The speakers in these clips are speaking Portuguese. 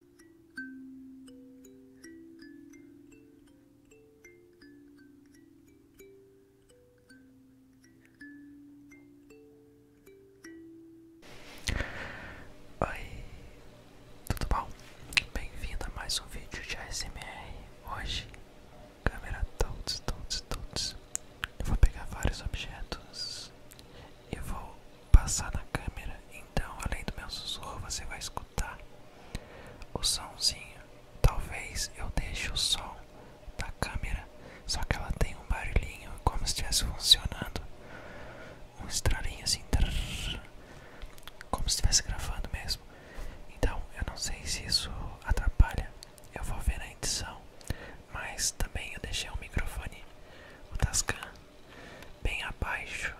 Oi, tudo bom? Bem-vindo a mais um vídeo de ASMR. Hoje, câmera todos, todos, todos. Eu vou pegar vários objetos eu vou passar na câmera, então além do meu sussurro você vai escutar o somzinho. Talvez eu deixe o som da câmera, só que ela tem um barulhinho como se estivesse funcionando, um estralinho assim, como se estivesse gravando mesmo. Então eu não sei se isso atrapalha, eu vou ver na edição, mas também eu deixei o microfone, o Tascam bem abaixo.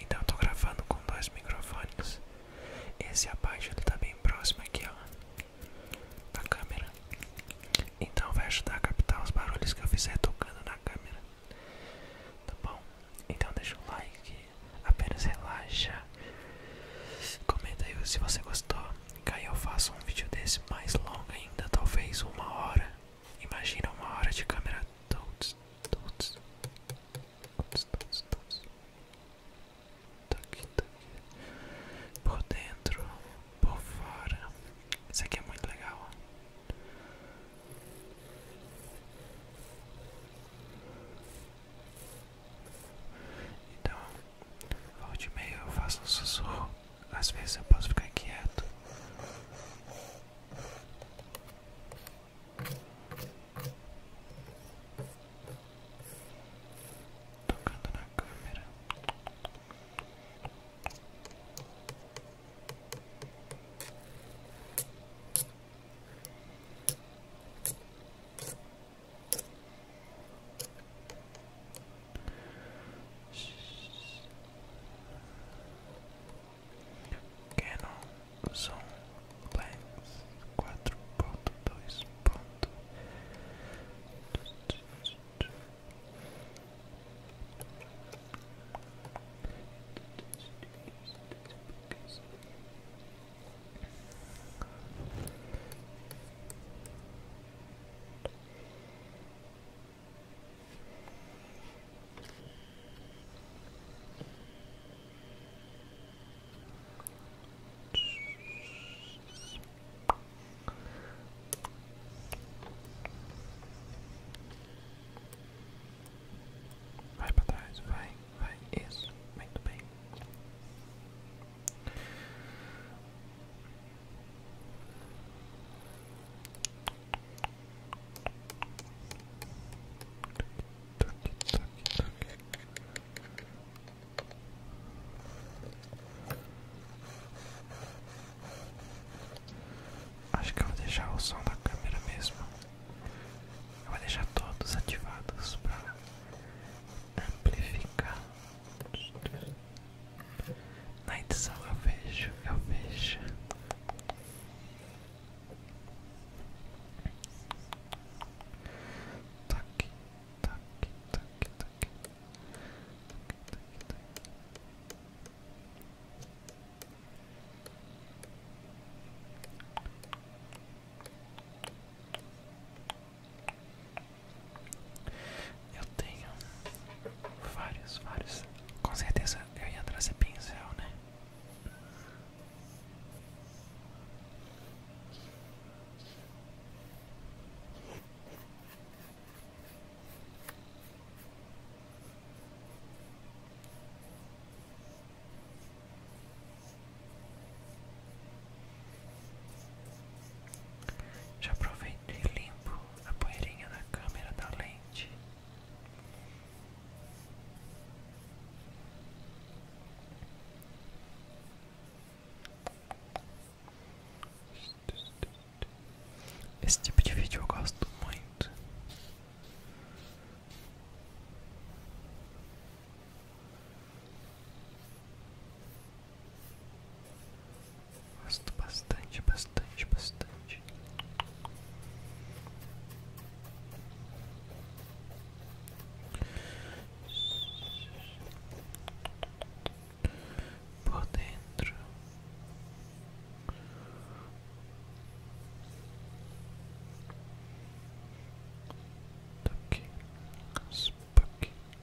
Então eu tô gravando com dois microfones. Esse abaixo ele tá bem próximo aqui, ó, da câmera. Então vai ajudar a captar os barulhos que eu fizer tocando na câmera. Tá bom? Então deixa o like, apenas relaxa. Comenta aí se você gostou. Que aí eu faço um vídeo desse mais longo ainda, talvez uma hora. Imagina uma hora de câmera todos, todos, todos, todos, todos. Tá aqui, tá aqui. Por dentro, por fora. Isso aqui é muito legal. Então, volta de meio, eu faço um sussurro. Às vezes eu posso ficar quieto. Tocando na câmera. Canon quatro Lens dois ponto Vai para trás, vai, vai, isso, muito bem. Acho que eu vou deixar o som da câmera mesmo. Eu vou deixar todos ativados para amplificar. Na edição eu vejo, eu vejo. Toque, tá toque, tá toque, tá toque. Toque, toque, toque. Eu tenho vários, vários. Com certeza eu ia trazer pincel, né? Já aproveito e limpo a poeirinha na câmera da lente. Esse tipo de vídeo eu gosto muito. Gosto bastante, bastante, bastante. Por dentro. Toque, tá toque, tá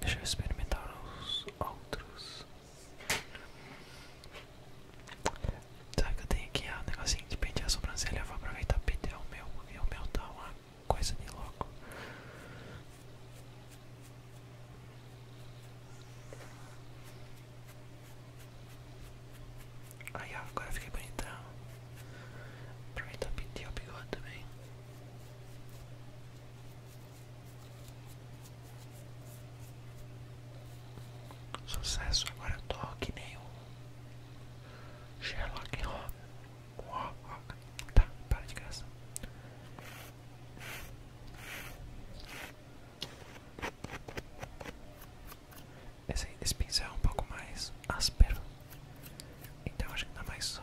Deixa eu experimentar os outros. Sabe que eu tenho aqui ah, um negocinho de pentear a sobrancelha? Eu vou aproveitar e pentear o meu, porque o meu tá uma coisa de louco. Aí ó, agora fiquei bonitão. Aproveitar e pintar o bigode também. Sucesso, agora eu tô que nem um Sherlock Holmes. Ó, ó, tá, para de graça. Esse, pincel é um pouco mais áspero, então acho que dá mais som.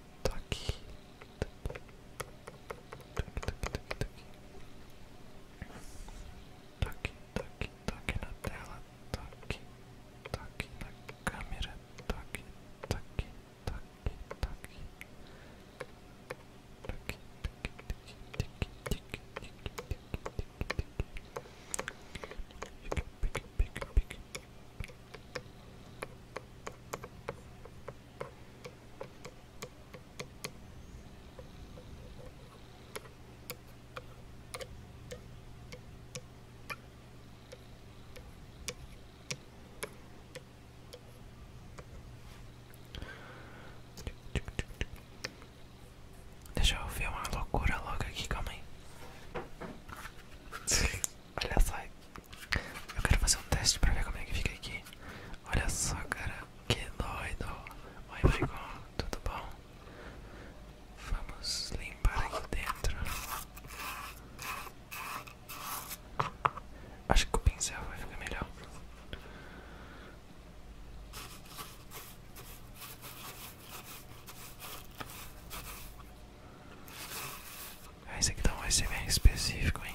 Tá aqui. Tá aqui. Tá aqui, tá aqui, tá aqui. Tá aqui, tá aqui, tá aqui na tela. Tá aqui, tá aqui na câmera. Tá aqui, tá aqui, tá aqui, tá aqui. Tá aqui, tá aqui, tá aqui, tá aqui, tá aqui, tá aqui, tá aqui, tá aqui, tá aqui. Pique, pique, pique, pique. Deixa eu ver uma loucura logo aqui, calma Olha só eu quero fazer um teste pra ver como é que fica aqui. Olha só, cara, que doido. Oi, Michael, tudo bom? Vamos limpar aqui dentro. Acho que o pincel vai ficar melhor. Esse aqui vai ser bem específico, hein?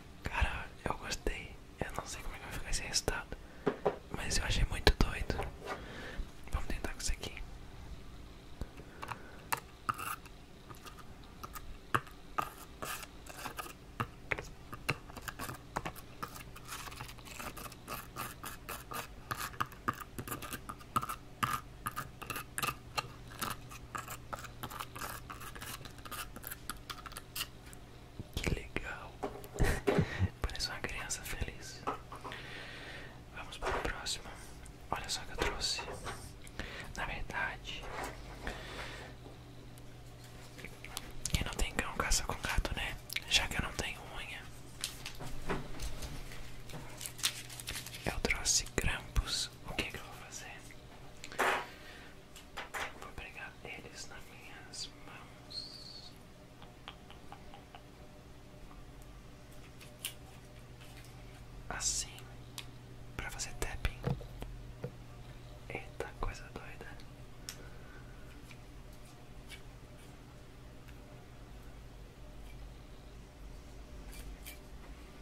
Cara, eu gostei. Eu não sei como é que vai ficar esse resultado, mas eu achei muito doido. Vamos tentar com isso aqui. Que legal! Parece uma criança feliz. Vamos para o próximo. Olha só que eu trouxe. Na verdade, quem não tem cão caça com gato, né? Já que eu não tenho unha, eu trouxe grampos o que, é que eu vou fazer? Vou pegar eles nas minhas mãos. Assim, para fazer tapping. Eita, coisa doida.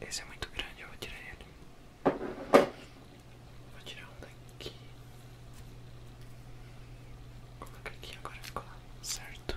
Esse é muito grande, eu vou tirar ele. Vou tirar um daqui. coloca aqui, agora ficou lá, certo?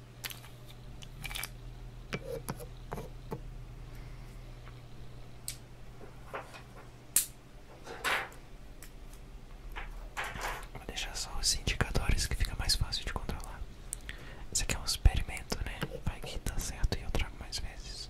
Vou deixar só os indicadores que fica mais fácil de controlar. Esse aqui é um experimento, né? Vai que tá certo e eu trago mais vezes.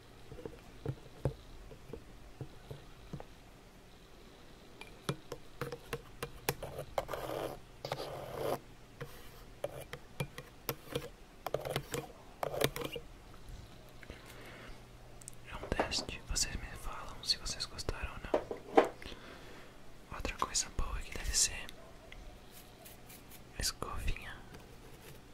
É um teste, vocês me falam se vocês gostaram ou não. Outra coisa boa que deve ser a escovinha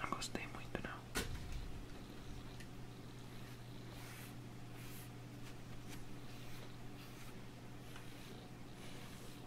Não gostei muito, não.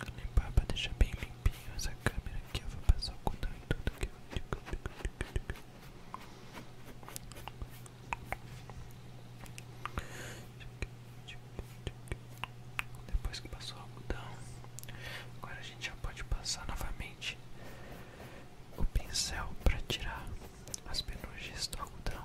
Eu vou limpar deixar bem limpinho essa câmera aqui. Eu vou passar o cordão em tudo que eu. Depois que passou o algodão, agora a gente já pode passar novamente o pincel para tirar as penugens do algodão.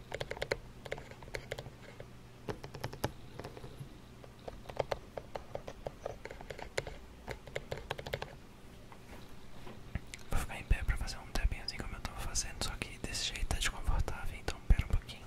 Vou ficar em pé para fazer um tapping assim como eu tava fazendo, só que desse jeito tá desconfortável, então pera um pouquinho.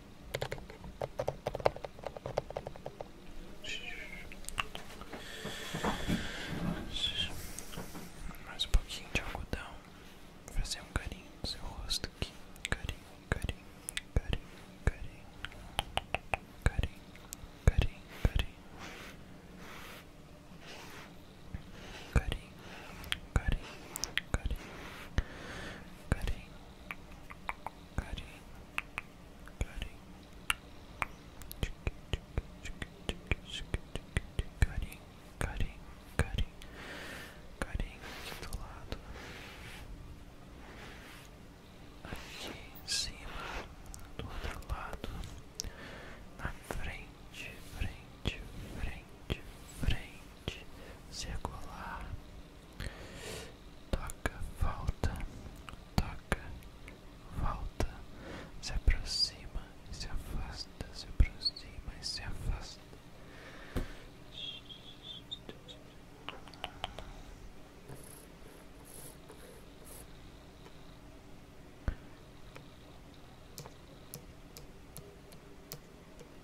Mais um pouquinho de algodão. Fazer um carinho no seu rosto aqui. Carinho, carinho, carinho, carinho. Carinho, carinho, carinho. Carinho, carinho, carinho. Carinho, carinho, carinho, carinho, carinho, carinho, carinho aqui do lado, aqui em cima, do outro lado, na frente, frente, frente, frente, circular. Toca, volta, toca, volta, se aproxima, se afasta, se aproxima e se afasta.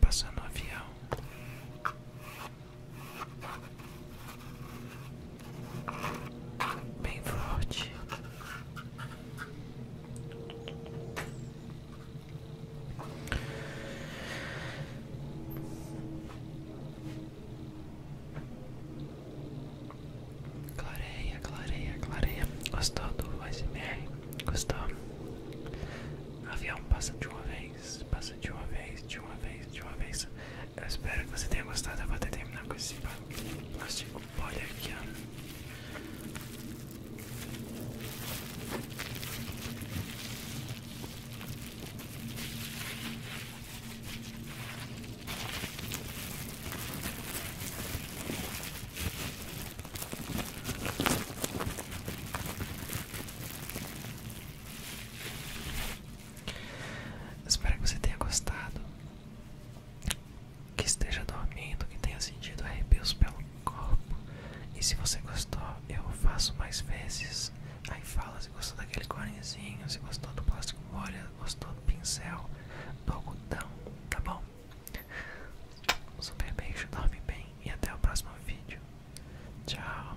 Passando o avião. Bem forte. Clareia, clareia, clareia. Gostou do iceberg? Gostou? Avião passa de uma vez, passa de uma vez, de uma vez, de uma vez. Eu espero que você tenha gostado. Eu vou até terminar com esse plástico. Olha aqui, ó. Espero que você tenha gostado. Que esteja dormindo, que tenha sentido arrepios pelo encorpo. E se você gostou, eu faço mais vezes. Aí fala se gostou daquele corinzinho, se gostou do plástico molha, gostou do pincel, do algodão, tá bom? Um super beijo, dorme bem e até o próximo vídeo. Tchau!